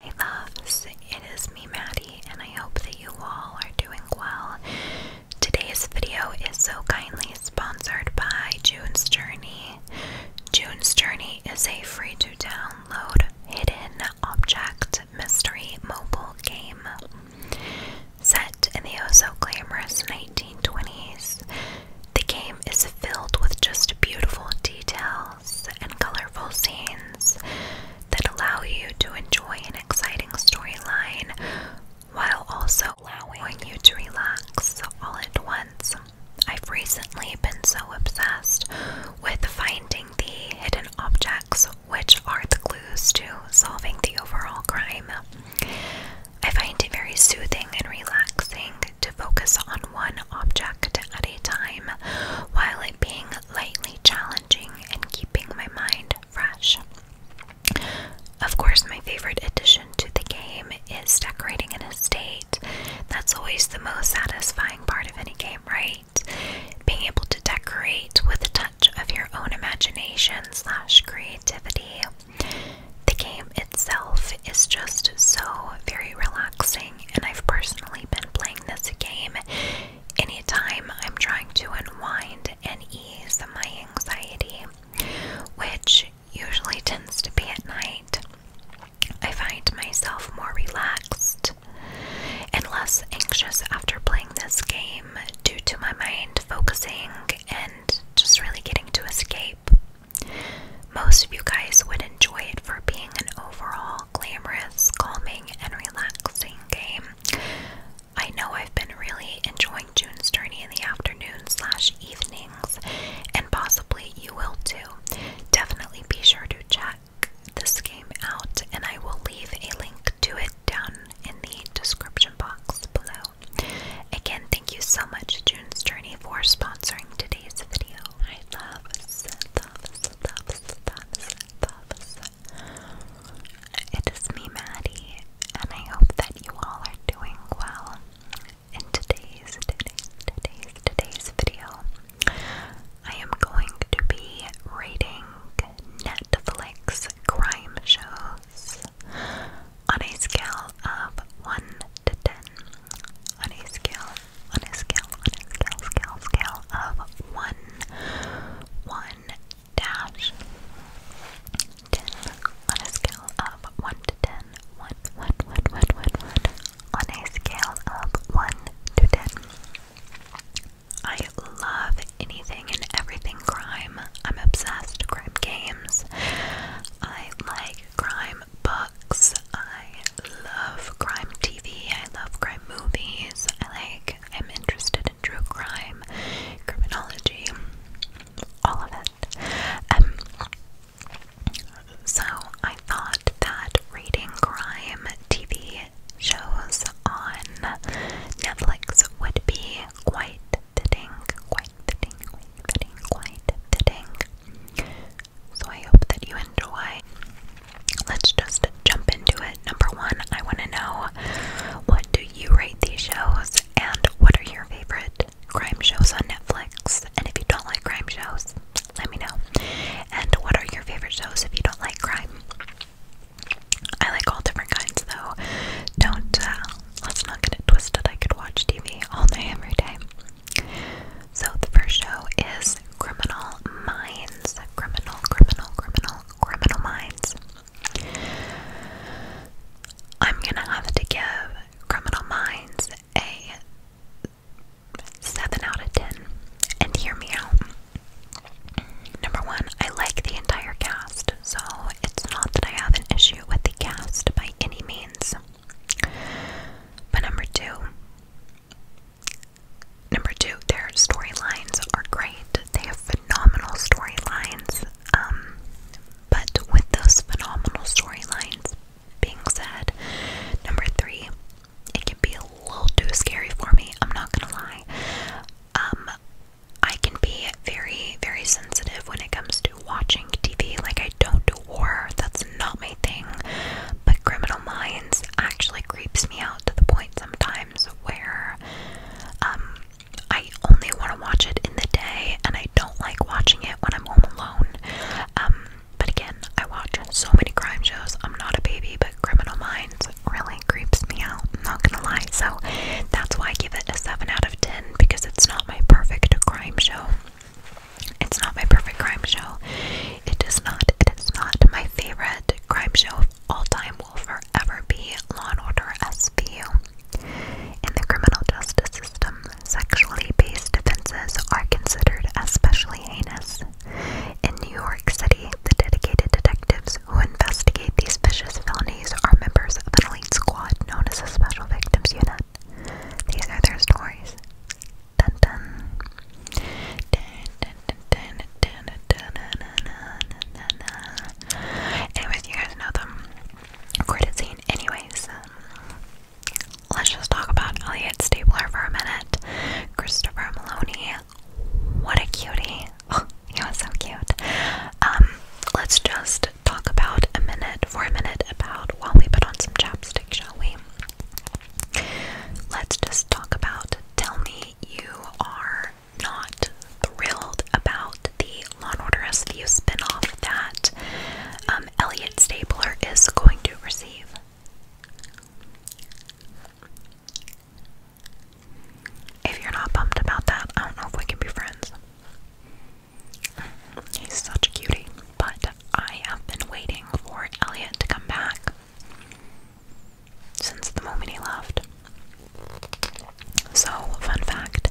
Hey loves, it is me Maddie and I hope that you all are doing well. Today's video is so kindly sponsored by June's Journey. June's Journey is a free to download hidden object mystery mobile game. Set in the oh so glamorous 1920s, the game is filled with just beautiful detail and colorful scenes that allow you to enjoy an exciting storyline while also allowing you to relax all at once. I've recently been so obsessed with finding the hidden objects, which are the clues to solving the overall crime. I find it very soothing and relaxing to focus on one object at a time while it being lightly challenging and keeping my mind fresh. Of course, my favorite addition to the game is decorating an estate. That's always the most satisfying part of any game, right? Being able to decorate with a touch of your own imagination slash creativity. The game itself is just so very relaxing and I've personally been playing this game anytime I'm trying to unwind and ease my anxiety, which usually tends to be at night. I find myself more relaxed and less anxious after playing this game due to my mind focusing and just really getting to escape. Most of you guys would enjoy it for being an overall glamorous, calming, and relaxing game. I know I've been really enjoying June's Journey in the afternoon slash evenings, and possibly you will too. Definitely be sure to check this game out, and I will leave a link to it down in the description box below. Again, thank you so much, June's Journey, for sponsoring today's video. I love it is me, Maddie, and I hope that you all are doing well. In today's, today's, today's, today's video, I am going to be rating Netflix crime shows on a scale of 1 to 10. On a scale on a scale, on a scale, scale, scale of one, one dash ten. On a scale of one to ten, one, one, one, one, one, one. On a scale of one to ten. I love anything and everything crime. I'm obsessed crime games. I like crime books. I love crime TV, I love crime movies. I like, I'm interested in true crime, criminology, all of it. Um, so I thought that rating crime TV shows on Netflix would be quite fitting, quite fitting, quite fitting, quite fitting. So I hope that you enjoy let's just jump into it. Number one, I want to know what do you rate these shows and what are your favorite crime shows on Netflix? And if you don't like crime shows, let me know. And what are your favorite shows if you don't like crime? I like all different kinds though. Don't, uh, let's not get it twisted. I could watch TV all day, every day. So the first show is Criminal Minds. Criminal, criminal, criminal, criminal minds. I'm gonna have to give Criminal Minds a 7 out of 10. And hear me out. Number one, I like the entire cast, so it's not that I have an issue with the cast by any means. But number two, Number two, their storylines are great. They have phenomenal storylines. Um, but with those phenomenal storylines being said, number three, it can be a little too scary for me. I'm not gonna lie. Um, I can be very, very sensitive when it comes to watching TV. Like, I don't do horror, that's not my thing. But Criminal Minds actually creeps me out to the point sometimes where um, I only want to watch it in the day and I don't like watching it when I'm home alone. Um, but again, I watch so many crime shows. I'm not a baby, but Criminal Minds really creeps me out. I'm not gonna lie. So that's why I give it a 7 out of 10 because it's not my perfect crime show. It's not my perfect crime show. It does not. It is not my favorite crime show all time will forever be Law and Order SVU. In the criminal justice system, sexually based offenses are considered especially heinous. In New York City, the dedicated detectives who investigate these vicious felonies are members of an elite squad known as the Special Victims Unit. These are their stories. Anyways, you guys know them. Credit scene. Anyways, um, let's just talk about Elliot Stapler for a minute. Christopher Maloney. What a cutie. Oh, he was so cute. Um, let's just talk about a minute, for a minute, about while we put on some chapstick, shall we? Let's just talk about Tell Me you are not thrilled about the Law and Order SVU spinoff that um, Elliot Stabler is going to receive. If you're not pumped about that, I don't know if we can be friends. He's such a cutie, but I have been waiting for Elliot to come back since the moment he left. So, fun fact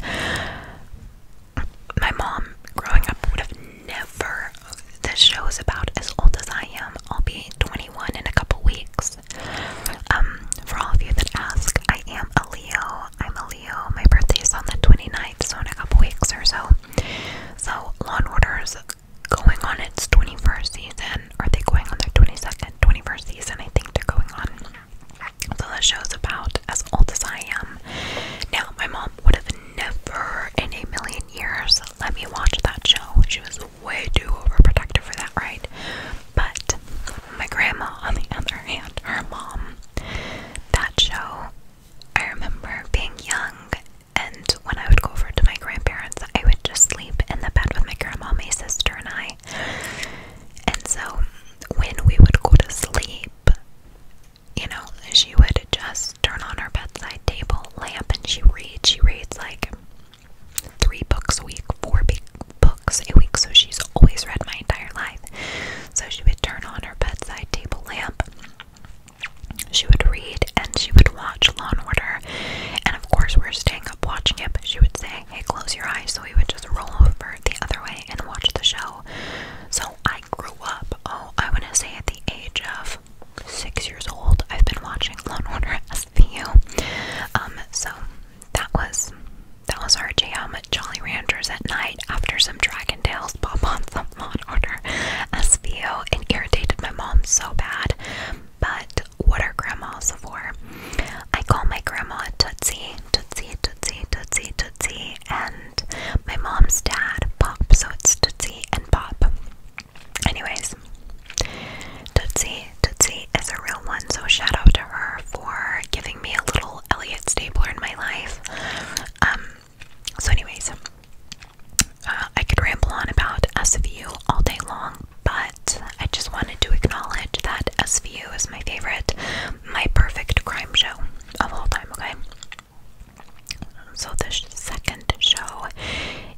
my mom growing up would have never. This show is about as old as I am. I'll be 21 in a couple weeks. Um, for all of you that ask, I am a Leo. I'm a Leo. My birthday is on the 29th, so in a couple weeks or so. So, Law and Order is going on its 21st season. Are they going on their 22nd, 21st season? I think they're going on. So the show's about as old as I am. Now, my mom would have never in a million years let me watch that show. She was way too overprotective for that, right? But my grandma, on the other hand, her mom, that show, I remember being young. And when I would go over to my grandparents, I would just sleep in the bed with my grandma, my sister, and I. And so when we would go to sleep, you know, she would just turn on her bedside table lamp and she reads. She reads like three books a week, four big books a week. So she's always read my entire life. So she would turn on her bedside table lamp. She would read and she would watch Law and Order, and of course, we are staying up watching it. But she would say, Hey, close your eyes. So we would just roll over the other way and watch the show. So I grew up, oh, I want to say at the age of six years old, I've been watching Law and Order SVU. Um, so that was that was our jam at Jolly Ranchers at night after some Dragon Tales pop on Thump on Order SVU. and irritated my mom so bad but what are grandmas for? I call my grandma Tootsie, Tootsie, Tootsie, Tootsie, Tootsie, and my mom's dad Pop, so it's Tootsie and Pop. Anyways, Tootsie, Tootsie is a real one, so shout out to her for giving me a little Elliot Stapler in my life. Um, so anyways, uh, I could ramble on about us of you all day long, but I just wanted to acknowledge that SVU is my favorite, my perfect crime show of all time, okay? So the second show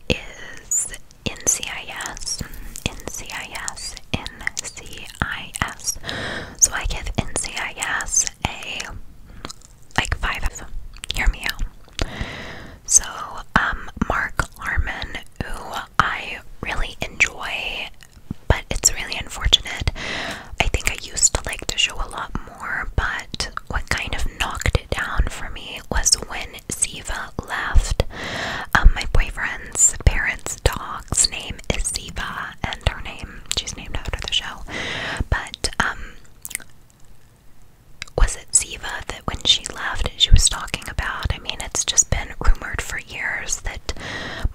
is NCIS, NCIS, NCIS. So I give NCIS a like five of them. Hear me out. So um, Mark Harmon who I really enjoy, but it's really unfortunate. I think I used to like to show a lot more, but what kind of knocked it down for me was when Siva left. Um, my boyfriend's parents' dog's name is Siva, and her name, she's named after the show. But, um, was it Siva when she left, she was talking about. I mean, it's just been rumored for years that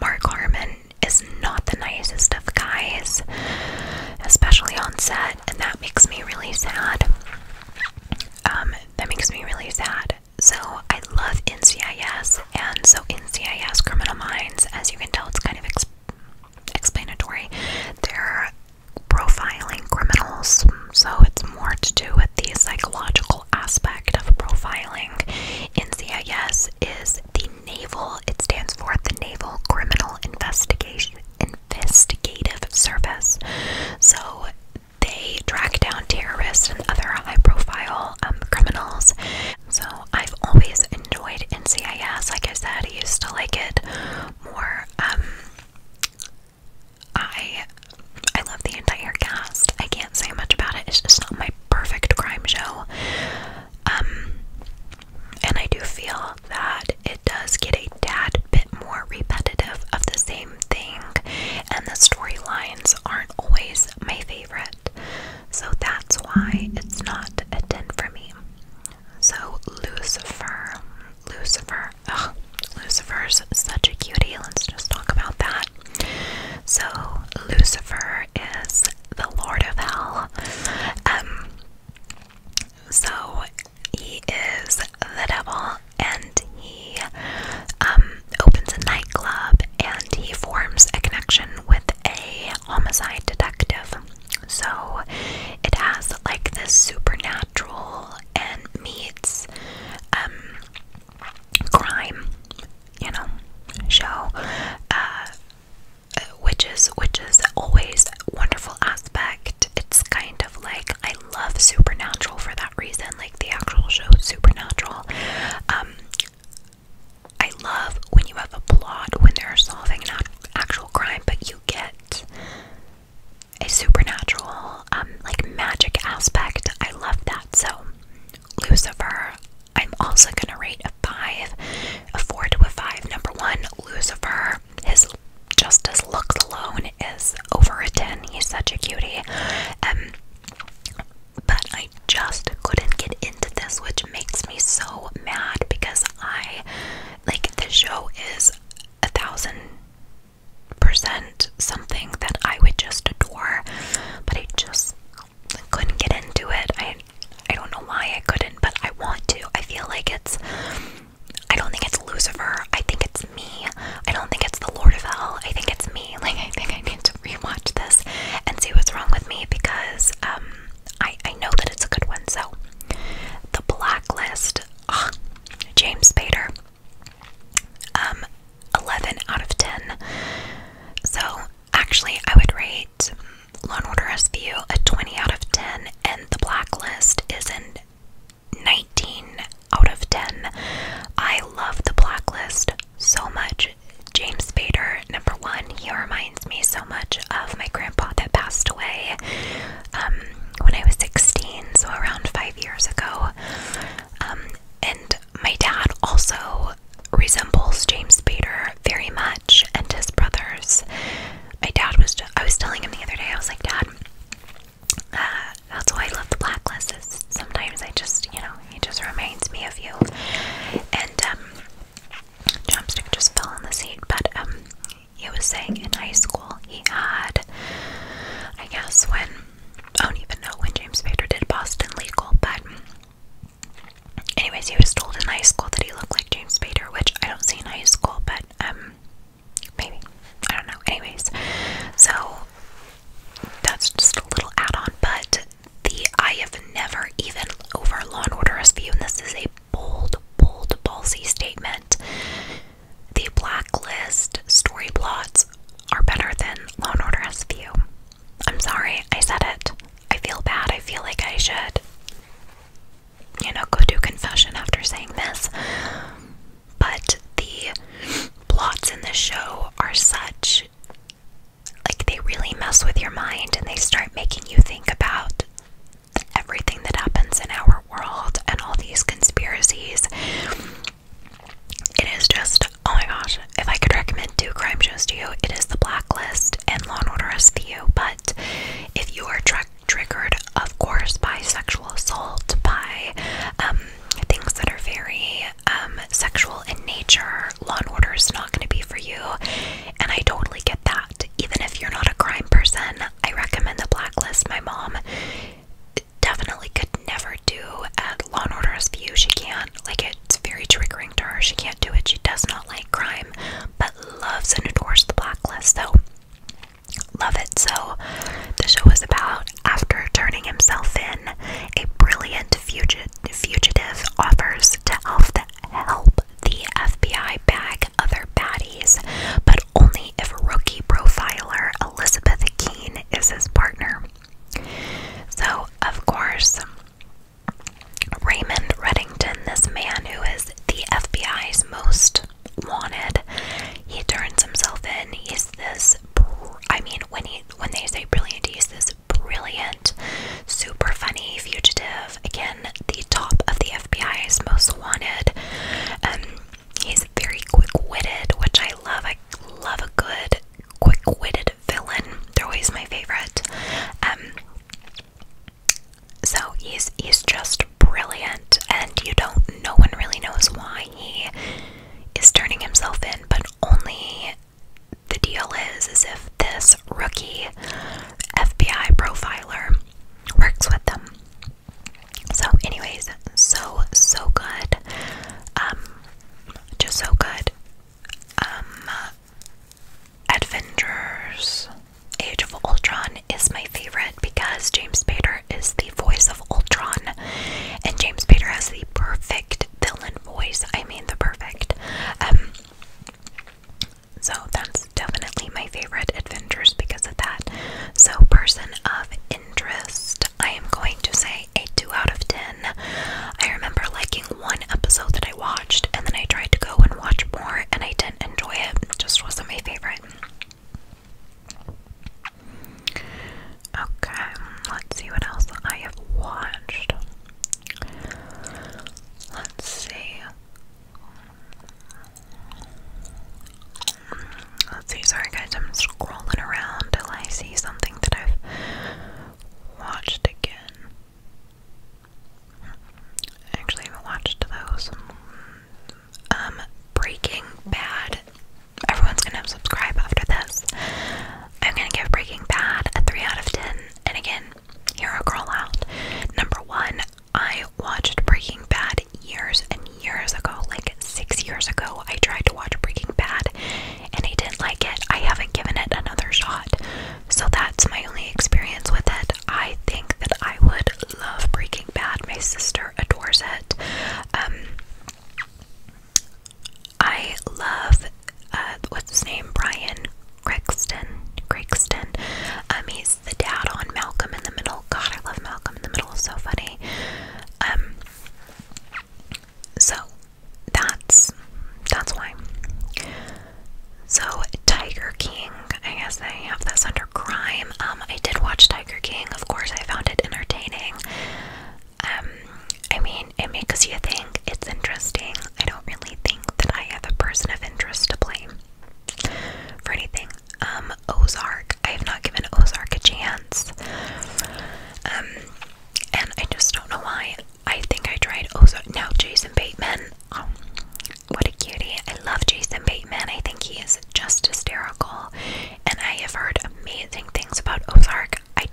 Mark Harmon is not the nicest of guys, especially on set, and that makes me really sad. Um, that makes me really sad. So I love NCIS, and so NCIS Criminal Minds, as you can tell, it's kind of explanatory. They're profiling criminals, so it's more to do with the psychological aspect of profiling in CIS is the naval, it stands for the Naval Criminal Investigation Investigative Service. So they track down terrorists and other high profile um, criminals. So I've always enjoyed NCIS. Like I said, I used to like it more um, I I love the entire cast. I can't say much about it. It's just not my perfect crime show. Um and I do feel that it does get a tad bit more repetitive of the same thing and the storylines aren't always my favorite. So that's why it's not a 10 for me. So Lucifer Lucifer Ugh, Lucifer's such a cutie. Let's just talk about that. So, Lucifer is the Lord of Hell. Um, so he is the devil, and he um, opens a nightclub, and he forms a connection with a homicide detective. So it has like this supernatural and meets um, crime, you know, show, uh, which is which is always wonderful aspect. It's kind of like I love Supernatural for that reason, like the actual show Supernatural. Um, I love when you have a plot when they're solving an actual crime, but you get a supernatural, um, like magic aspect. I love that. So, Lucifer, I'm also gonna rate a five, a four to a five. Number one, Lucifer, his just his looks alone is over a ten. He's such a cutie. Um, but I just couldn't get into this, which makes me so mad because I like the show is a thousand present something that I would just adore, but I just couldn't get into it. I I don't know why I couldn't, but I want to. I feel like it's I don't think it's Lucifer. I think it's me. I don't think it's the Lord of Hell. I think it's me. Like I think I need to rewatch this and see what's wrong with me because um I I know that it's a good one. So The Blacklist, ah, James Spader. Um 11 out of 10. So, actually, I would rate Law & Order SVU a 20 out of 10, and The Blacklist is in 19 out of 10. I love The Blacklist so much. James Spader, number one, he reminds me so much of my grandpa that passed away um, when I was 16, so around five years ago. Um, and my dad also resembles James Spader very much and his brothers. My dad was, I was telling him the other day, I was like, Dad, uh, that's why I love the black glasses. sometimes I just, you know, he just reminds me of you. And, um, Chopstick just fell on the seat, but, um, he was saying in high school he had, I guess, when I don't even know when James Spader did Boston Legal, but anyways, he was told in high school that he looked like James Spader, which I don't see in high school, but um, maybe I don't know. Anyways, so that's just a little add-on, but the I have never even over Law and Order SVU, and this is a bold, bold, ballsy statement. The blacklist story plots are better than Law and Order SVU. I'm sorry, I said it. I feel bad. I feel like I should, you know, go do confession after saying this. But the plots in this show are such like they really mess with your mind and they start making you think about everything that happens in our world and all these conspiracies it is just, oh my gosh, if I could recommend two crime shows to you, it is The Blacklist and Law and Order SVU. But if you are triggered, of course, by sexual assault, by um, things that are very um, sexual in nature, Law and Order is not going to be for you. And I totally get that. Even if you're not a crime person, I recommend The Blacklist. My mom definitely could never do at Law and Order's view. She can't. Like, it's very triggering to her. She can't do it. She does not like crime, but loves and adores the blacklist. So, love it. So, the show is about after turning himself in, a brilliant fugit fugitive offers to help the, help the FBI bag other baddies, but only if rookie profiler Elizabeth Keene is his partner. So, of course, Raymond Reddington, this man who is the FBI's most wanted, he turns himself in. He's this I mean, when he when they say brilliant, he's this brilliant, super funny fugitive. Again, the top of the FBI's most wanted. Um, he's very quick-witted, which I love. I love a good quick-witted villain. They're always my favorite. Um, so he's he's just brilliant, and you don't. No one really knows why he is turning himself in, but only the deal is is if this rookie FBI profiler works with them. So, anyways, so so good. Um, just so good. Um, adventures, Age of Ultron is my favorite because James Spader is the voice of Ultron, and James Spader has the perfect villain voice. I mean, the perfect. Um, so that's definitely my favorite adventures because of that. So, person of interest, I am going to say a 2 out of 10. I remember liking one episode that I watched, and then I tried to go and watch more, and I didn't enjoy it. It just wasn't my favorite. Okay, let's see what else I have watched. Let's see. Let's see, sorry guys, I'm scrolling around till I see something that I've watched again. I haven't watched those. Um, Breaking Bad. Everyone's gonna subscribe after this. I'm gonna give Breaking Bad a 3 out of 10. And again, hear a girl out. Number one, I watched Breaking Bad years and years ago, like six years ago. I tried to watch Breaking Bad and he didn't like it, I haven't given it another shot. So that's my only experience with it. I think that I would love Breaking Bad. My sister adores it. Um, I love uh, what's his name, Brian Craigston. Craigston. Um, he's the dad on Malcolm in the Middle. God, I love Malcolm in the Middle. So funny. Um, so that's that's why. So Tiger King, I guess they have this under crime. Um, I did watch Tiger King. Of course, I found it entertaining. Um, I mean, it makes you think. It's interesting. I don't really think that I have a person of interest to blame for anything. Um, Ozark. I have not given Ozark a chance. Um, and I just don't know why. I think I tried Ozark. now Jason Bateman. Oh, what a cutie! I love Jason Bateman. I think he is just hysterical, and I have heard amazing things about Ozark. I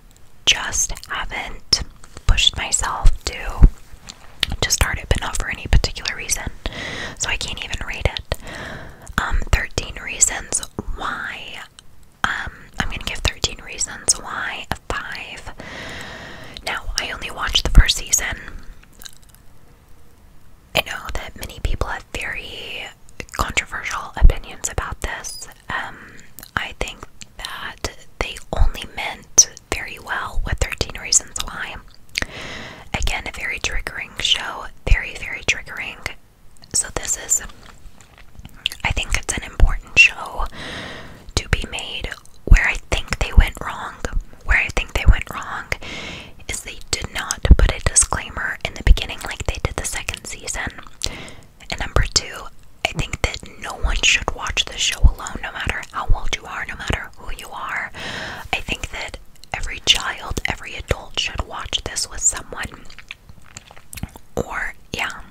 just haven't pushed myself to to start it, but not for any particular reason. So I can't even rate it. Um, 13 reasons why um, I'm gonna give 13 reasons why a five. Now, I only watched the first season. I know that many people have very controversial opinions about this. Um, I think that they only meant very well with 13 Reasons Why. Again, a very triggering show, very, very triggering. So, this is I think it's an important show to be made. Where I think they went wrong, where I think they went wrong is they did not put a disclaimer in the beginning like they did the second season. And number two, I think that no one should watch this show alone, no matter how old you are, no matter who you are. I think that every child, every adult should watch this with someone. Or, yeah,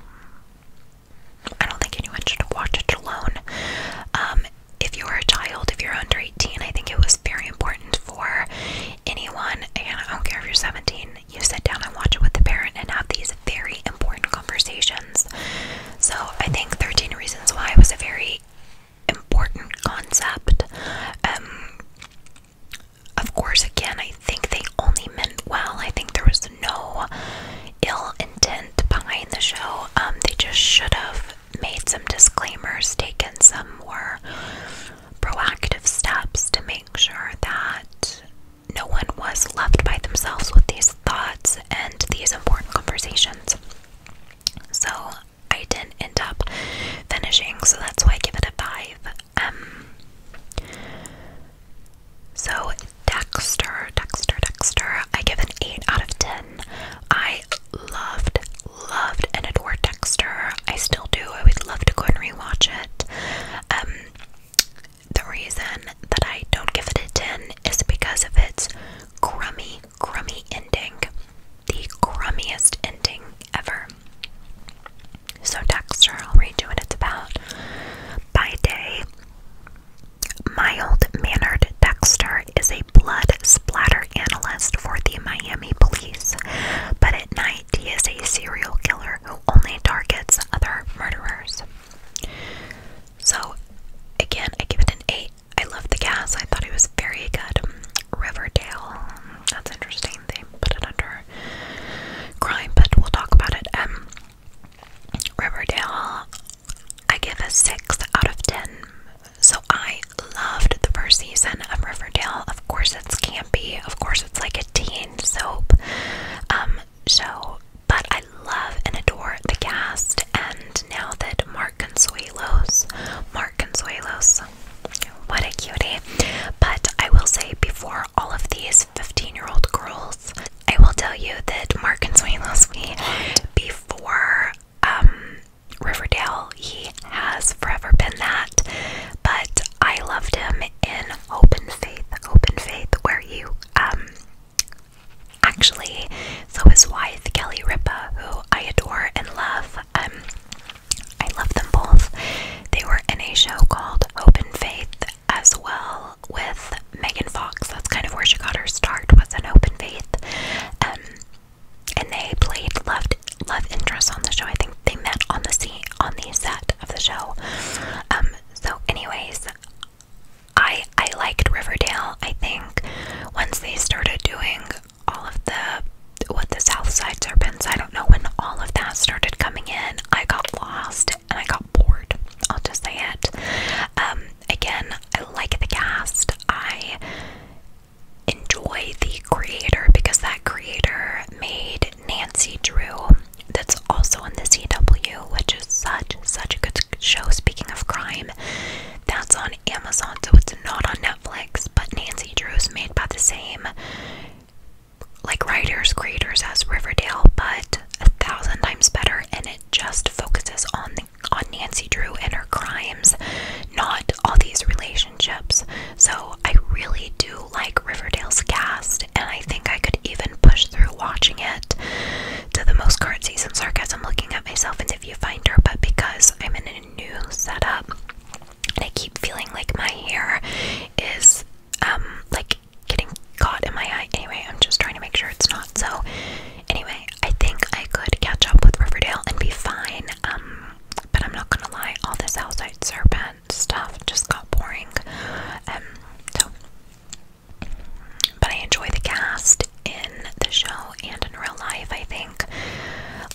I don't think anyone should watch it alone. Um, if you're a child, if you're under 18, I think it was very important for anyone, and I don't care if you're 17, you sit down and watch it with the parent and have these very important conversations. So I think 13 Reasons Why was a very important concept. Um, of course, again, I think they only meant well. I think there was no ill intent behind the show. Um, they just should have made some disclaimers, taken some more proactive steps to make sure that no one was left by themselves with these thoughts and these important conversations. So I didn't end up finishing, so that's why I give it a 5. Um, so Dexter, Dexter, Dexter, I give an 8 out of 10. I loved, loved, and adore Dexter. I still do. I would love to go and rewatch it. Um, the reason that I don't give it a 10 is because of its crummy, crummy ending. The crummiest ending ever. So text I'll read you what it's about. By day, mild mannered Dexter is a blood splatter analyst for the Miami police, but at night he is a serial killer who only targets other murderers. So, again, I give it an 8. I love the cast, I thought it was very good. Riverdale, that's interesting, they put it under crime, but we'll talk about it. Um, Riverdale, I give a 6 out of 10. So I loved the first season of Riverdale. Of course, it's campy. Of course, it's like a teen soap um, show. But I love and adore the cast. And now that Mark Consuelos, Mark Consuelos, what a cutie. But I will say, before all of these 15 year old girls. I will tell you that Mark Consuelos, we before um, Riverdale, he has forever been that, but I loved him in Open Faith, Open Faith, where you um, actually so his wife Kelly Ripa, who I adore and love. Um, I love them both. They were in a show called Open Faith as well with Megan Fox. That's kind of where she got her start was an open faith. Um, and they played love love interest on the show. I think they met on the scene on the set of the show. Um, so anyways, I I liked Riverdale. I think once they started doing all of the what the South Side Serpents, I don't know when all of that started coming in. I got lost and I got bored. I'll just say it. Um, again, I like the cast. I enjoy the creator because that creator made Nancy Drew, that's also on the CW, which is such such a good show. Speaking of crime, that's on Amazon, so it's not on Netflix. But Nancy Drew's made by the same like writers, creators as Riverdale, but a thousand times better, and it just focuses on the, on Nancy Drew and her crimes, not all these relationships. So I really do like Riverdale's cast, and I think I could even push through watching it to the most current season sarcasm looking at myself in the viewfinder, but because I'm in a new setup and I keep feeling like my hair is um like getting caught in my eye. Anyway, I'm just trying to make sure it's not. So, anyway, I think I could catch up with Riverdale and be fine. Um, but I'm not gonna lie, all this outside serpent stuff just got boring. Um, so, but I enjoy the cast in the show and in real life. I think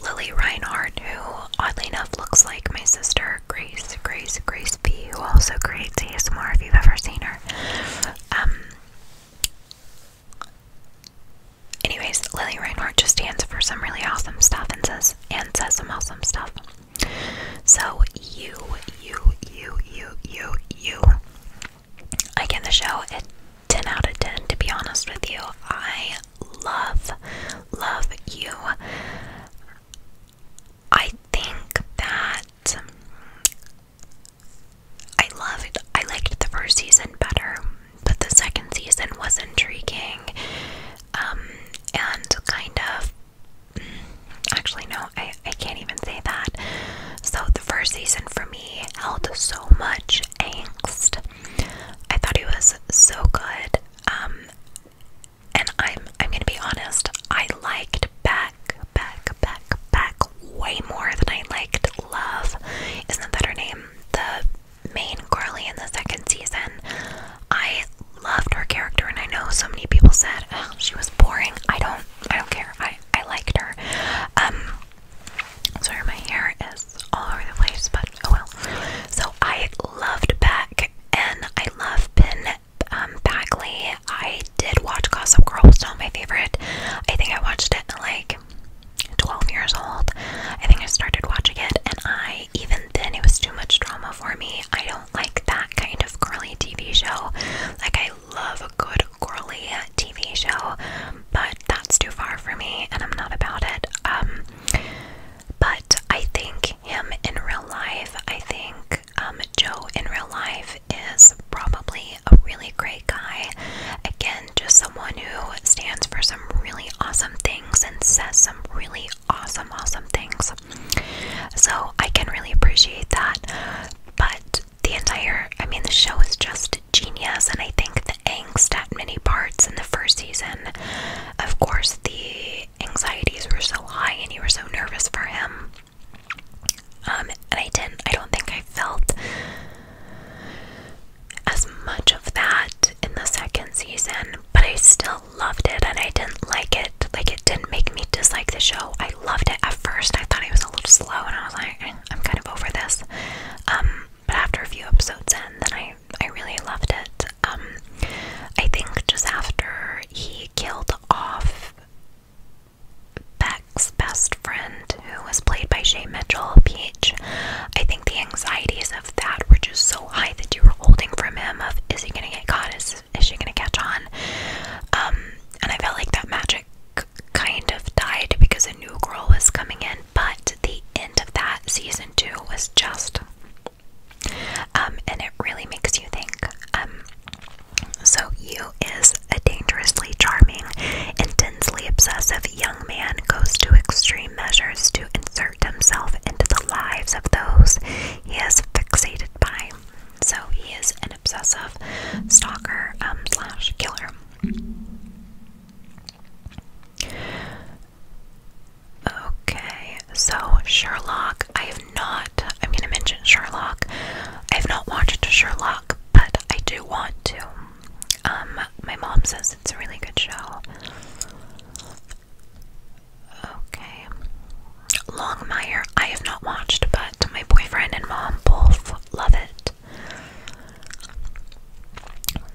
Lily Reinhardt, who oddly enough looks like my sister Grace, Grace, Grace B, who also creates ASMR. If you've ever seen her, um, anyways, Lily Reinhardt just stands for some really awesome stuff and says and says some awesome stuff. So you, you, you, you, you, you. I give the show a 10 out of 10 to be honest with you. I love, love you. I think that I loved. I liked the first season better, but the second season was intriguing um, and kind of. Mm, actually, no, I, I can't even say that. So, the first season for me held so much angst. I thought it was so good. Um, and I'm I'm gonna be honest, I liked back back back, back, way more than I liked Love. Isn't that her name? The main girly in the second season. I loved her character and I know so many people said oh, she was boring. I don't I don't care. I, I liked her. Um sorry my hair is all over the place, but oh well. So I loved Beck and I love Pin um, Backly, I did watch Gossip Girl, It's not my favorite. I think I watched it like 12 years old. I think I started watching it, and I, even then, it was too much drama for me. I don't like that kind of girly TV show. Like, I love a good girly TV show, but that's too far for me, and I'm not about it. Um, but I think him in real life, I think um, Joe in real life is probably a really great guy. Again, just someone who stands for some really awesome things and says some really awesome, awesome things. So I can really appreciate that. But the entire, I mean, the show is just genius, and I think the angst at many parts in the first season, of course, the anxieties were so high and you were so nervous for him. Um, and I didn't, I don't think I felt as much of that in the second season, but I still loved it and I didn't like it. Like, it didn't make me dislike the show. I loved it at first. I thought it was a little slow and I was like, eh, I'm kind of over this. Um, but after a few episodes in, then I, I really loved it. Um, I think just after he killed off Beck's best friend, who was played by Shay Mitchell, Peach, I think the anxieties of that were just so high that you were holding from him of is he gonna get caught? Is is she gonna catch on? Um, and I felt like that magic kind of died because a new girl was coming in, but the end of that season two was just um and it really makes you think. Um so, you is a dangerously charming, intensely obsessive young man goes to extreme measures to insert himself into the lives of those he is fixated by. So, he is an obsessive stalker um, slash killer. Okay, so Sherlock, I not, I'm going to mention Sherlock. I have not watched Sherlock, but I do want to. Um, my mom says it's a really good show. Okay. Longmire, I have not watched, but my boyfriend and mom both love it.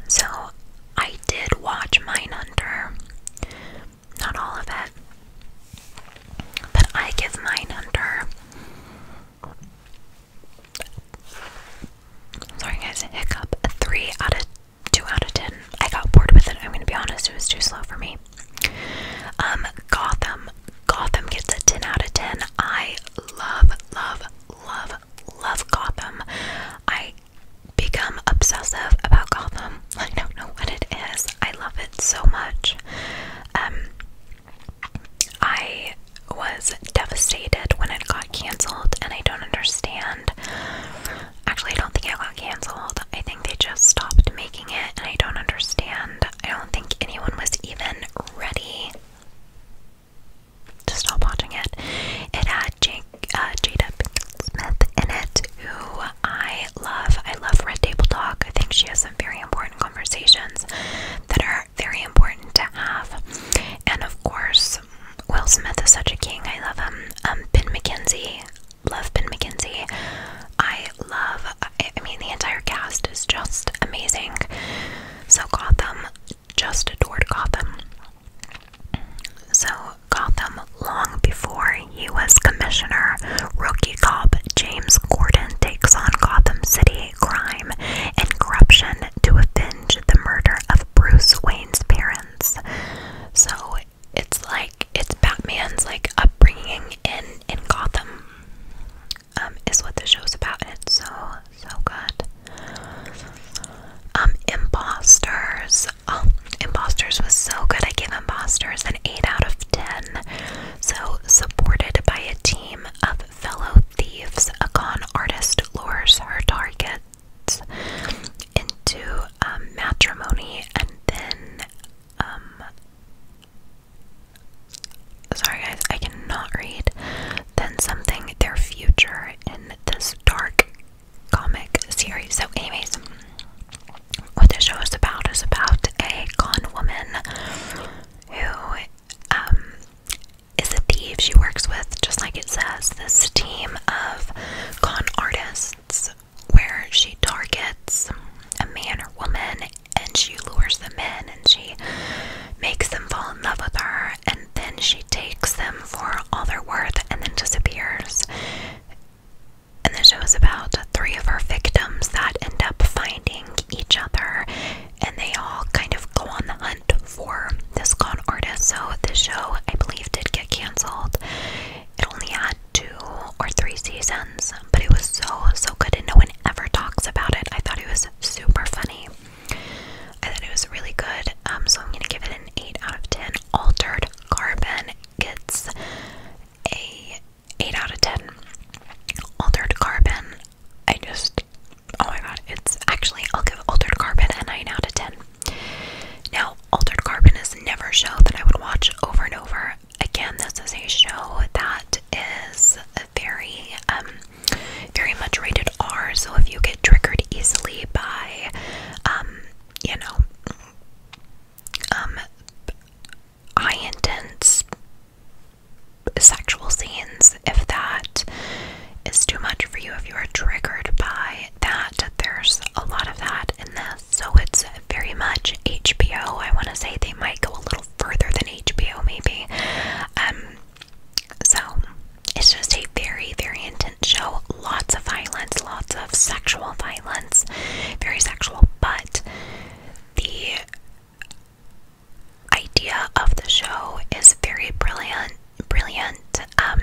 So, I did watch Mindhunter. Not all of it. But I give mine under. Sorry guys, hiccup. three out of two out of ten. I got bored with it. I'm gonna be honest, it was too slow for me. Um, Gotham. Gotham gets a ten out of ten. I love, love, love, love Gotham. I become obsessive about Gotham. I don't know what it is. I love it so much. Um, I was devastated when it got cancelled, and I don't understand. Actually, I don't think it got cancelled. I think they just stopped making it, and I don't understand. I don't think anyone was even ready to stop watching it. It had Jake, uh, Jada Pinkett Smith in it, who I I love. I love Red Table Talk. I think she has some very important conversations that are very important to have. And of course, Will Smith is such a king. I love him. Um, Ben McKenzie. Love Ben McKenzie. I love, I, I mean, the entire cast is just amazing. So, Gotham, just adored Gotham. So, Gotham, long before he was commissioner, Rookie cop James Gordon takes on Gotham City crime and corruption to avenge the murder of Bruce Wayne's parents. So it's like it's Batman's like upbringing in in Gotham um, is what the show's about, and it's so so good. Um, Imposters. Oh, Imposters was so good. I give Imposters an eight out of ten. So, supported by a team of fellow thieves, a con artist lures her targets into um, matrimony and then. Um, sorry, guys, I cannot read. Then something, their future in this dark comic series. So, anyways, what the show is about is about a con woman who um, is a thief. She works with, just like it says, this team of con artists where she targets a man or woman and she lures them in and she makes them fall in love with her and then she takes them for all their worth and then disappears. And the show is about three of her victims that end up finding each other and they all kind of go on the hunt for this con artist. So the show, I believe, did get canceled. It only had two or three seasons, but it was so, so good, and no one ever talks about it. I thought it was super funny. I thought it was really good. Um, so I'm gonna give it an 8 out of 10. Altered Carbon gets a 8 out of 10. Altered Carbon, I just, oh my god, it's actually, I'll give Altered Carbon a 9 out of 10. Now, Altered Carbon is never a show that I would watch over and over. Again, this is a show that is very, um, very much rated R, so if you get triggered easily by, um, you know, um, eye intense sexual scenes. If that is too much for you, if you are triggered by that, there's a lot of that in this. So it's very much HBO. I want to say they might go a little further than HBO, maybe. Um, so it's just a very, very intense show. Lots of violence, lots of sexual violence, very sexual, but the idea of the show is very brilliant, brilliant, um,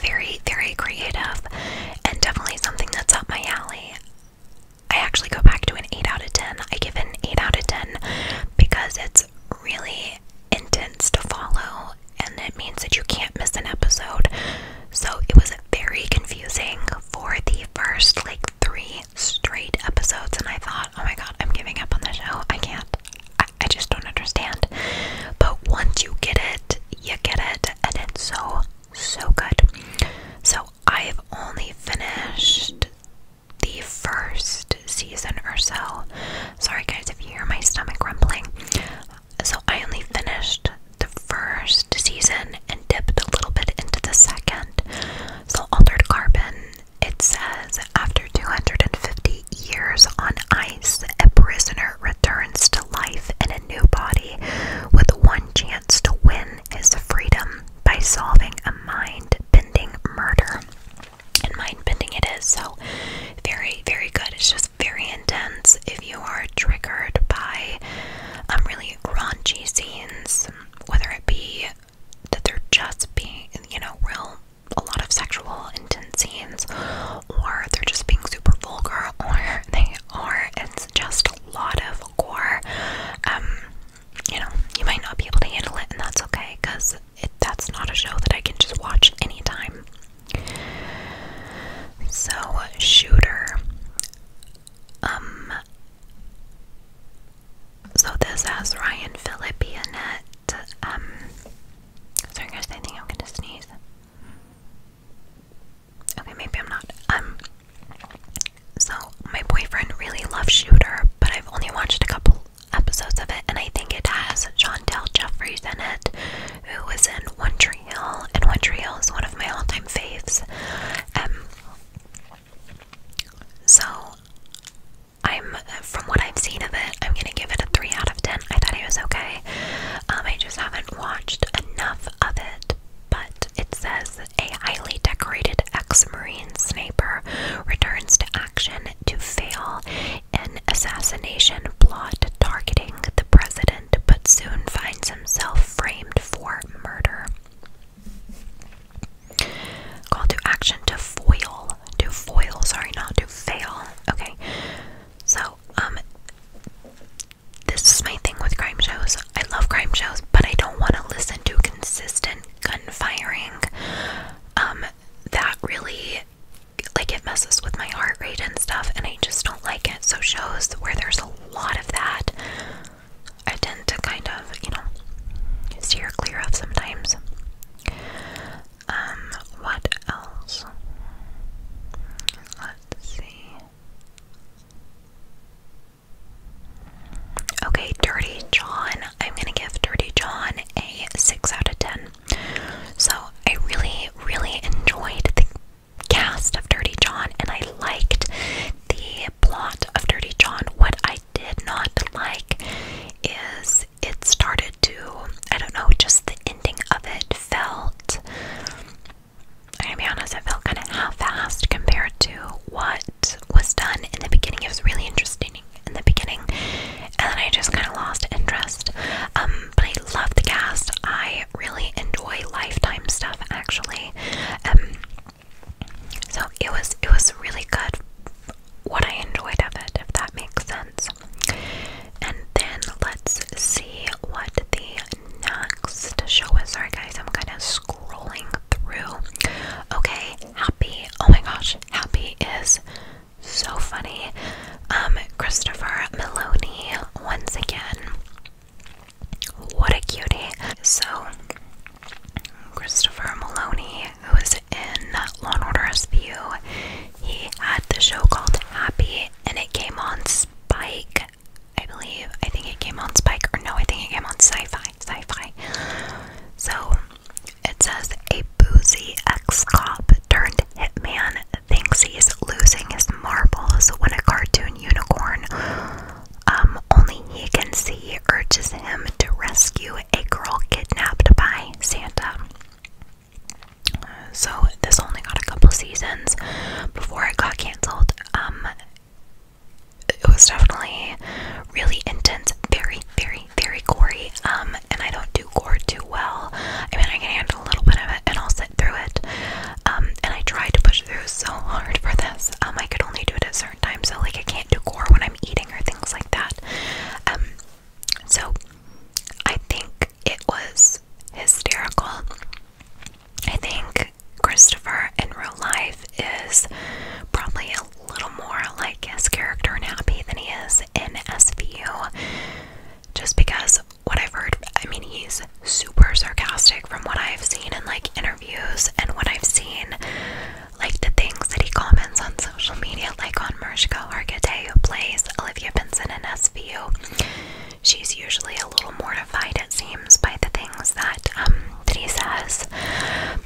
very, very creative, and definitely something that's up my alley. I actually go back to an 8 out of 10. I give it an 8 out of 10 because it's really intense to follow and it means that you can't miss an episode. So it was very confusing for the first like three straight episodes, and I thought, oh my god, I'm giving up on the show. I can't. I, I just don't understand. But once you get it, you get it, and it's so, so good. So I've only finished the first season or so. Sorry, guys, if you hear my stomach rumbling. So I only finished the first season and dipped a little bit into the second. So, altered carbon, it says after 250 years on ice, a prisoner returns to life in a new body with one chance to win his freedom by solving a mind bending murder. And mind bending it is, so very, very good. It's just very intense if you are triggered by um, really raunchy scenes, whether it be that they're just being, you know, real, a lot of sexual intense scenes, or they're just being super vulgar, or they are, it's just a lot of gore. Um, you know, you might not be able to handle it, and that's okay, because that's not a show that I can just watch anytime. So, Shooter. Um, so this has Ryan Philippi in it. sorry um, guys, I think I'm gonna sneeze. Okay, maybe I'm not. Um, so my boyfriend really loves Shooter, but I've only watched a couple episodes of it, and I think it has Chantel Jeffries in it, who was in One Tree Hill, and One Tree Hill is one of my all-time faves. Um, so, I'm uh, from what I've seen of it, I'm gonna give it a 3 out of 10. I thought it was okay. Um, I just haven't watched enough of it. But it says a highly decorated ex Marine sniper returns to action to fail an assassination plot targeting the president, but soon finds himself framed for murder. Call to action to foil. To foil, sorry, not to fail. Okay. So, um this is my thing with crime shows. I love crime shows, but I don't want to listen to consistent gun firing. Um that really like it messes with my heart rate and stuff and I just don't like it. So shows where there's a lot of that I tend to kind of, you know, steer clear of sometimes. Um, what else? Let's see. Okay, Dirty John. I'm gonna give Dirty John a 6 out of 10. So I really, really enjoyed the cast of Dirty John and I liked the plot of Dirty John, what I did not like is it started to, I don't know, just the ending of it felt, I'm gonna be honest, it felt kind of half-assed compared to what was done in the beginning. It was really interesting in the beginning, and then I just kind of lost interest. Um, but I love the cast. I really enjoy Lifetime stuff, actually. Um, so it was it was really good what I enjoyed of it, if that makes sense. And then let's see what the next show is. Sorry guys, I'm kind of scrolling through. Okay, happy. Oh my gosh, happy is so funny. Um, Christopher Meloni once again. What a cutie. So Christopher Maloney, who was in Law and Order SVU, he had the show called Happy, and it came on Spike, I believe. I think it came on Spike, or no, I think it came on Sci-Fi. Sci-Fi. So it says a boozy ex-cop turned hitman thinks he's losing his marbles when a cartoon unicorn um, only he can see urges him to rescue a girl kidnapped by Santa. So this only got a couple seasons before it got canceled. Um, it was definitely really intense, very, very, very gory. Um, and I don't do gore too well. I mean, I can handle a little bit of it, and I'll sit through it. Um, and I tried to push through so hard for this. Um, I could only do it at certain time, so like I can't do core when I'm eating or things like that. Um, so I think it was hysterical. I think Christopher in real life is probably a little more like his character in Happy than he is in SVU, just because what I've heard. I mean, he's super sarcastic from what I've seen in like interviews and what I've seen like the things that he comments on social media, like on Mariska Hargitay, who plays Olivia Benson in SVU. She's usually a little mortified, it seems, by the things that um that he says.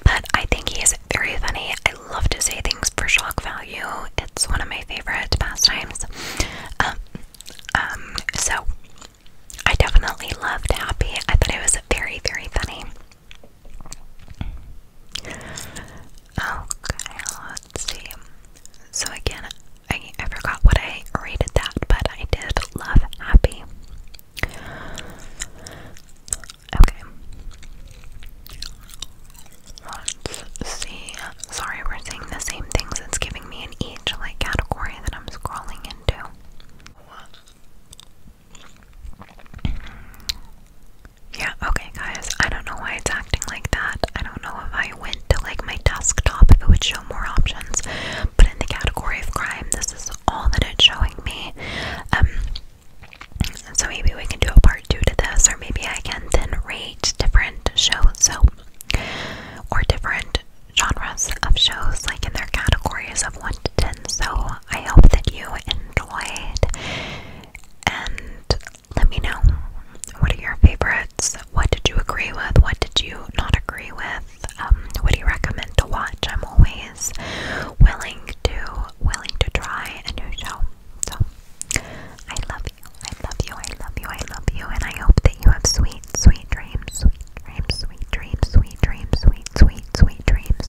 But I think he is very funny. I love to say things for shock value. It's one of my favorite pastimes. Um, um so I definitely loved Happy. I thought it was very, very funny. Okay, let's see. So again, I I forgot what I rated that, but I did love happy. Okay. Let's see. Sorry, we're seeing the same things. It's giving me an each like category that I'm scrolling into. Yeah, okay, guys. I don't know why it's acting like that. I don't know if I went to like my desktop if it would show more options, but in the category of crime, this is all that it's showing me. Um, so maybe we can do a part two to this, or maybe I can then rate different shows, so or different genres of shows, like in their categories of one to ten. So I hope that you enjoyed. And let me know what are your favorites? What did you agree with? What did you not agree with? Um, what do you recommend to watch? I'm always willing to willing to try a new show. So I love you. I love you. I love you. I love you. And I hope that you have sweet, sweet dreams. Sweet dreams. Sweet dreams. Sweet dreams. Sweet, sweet, sweet, sweet dreams.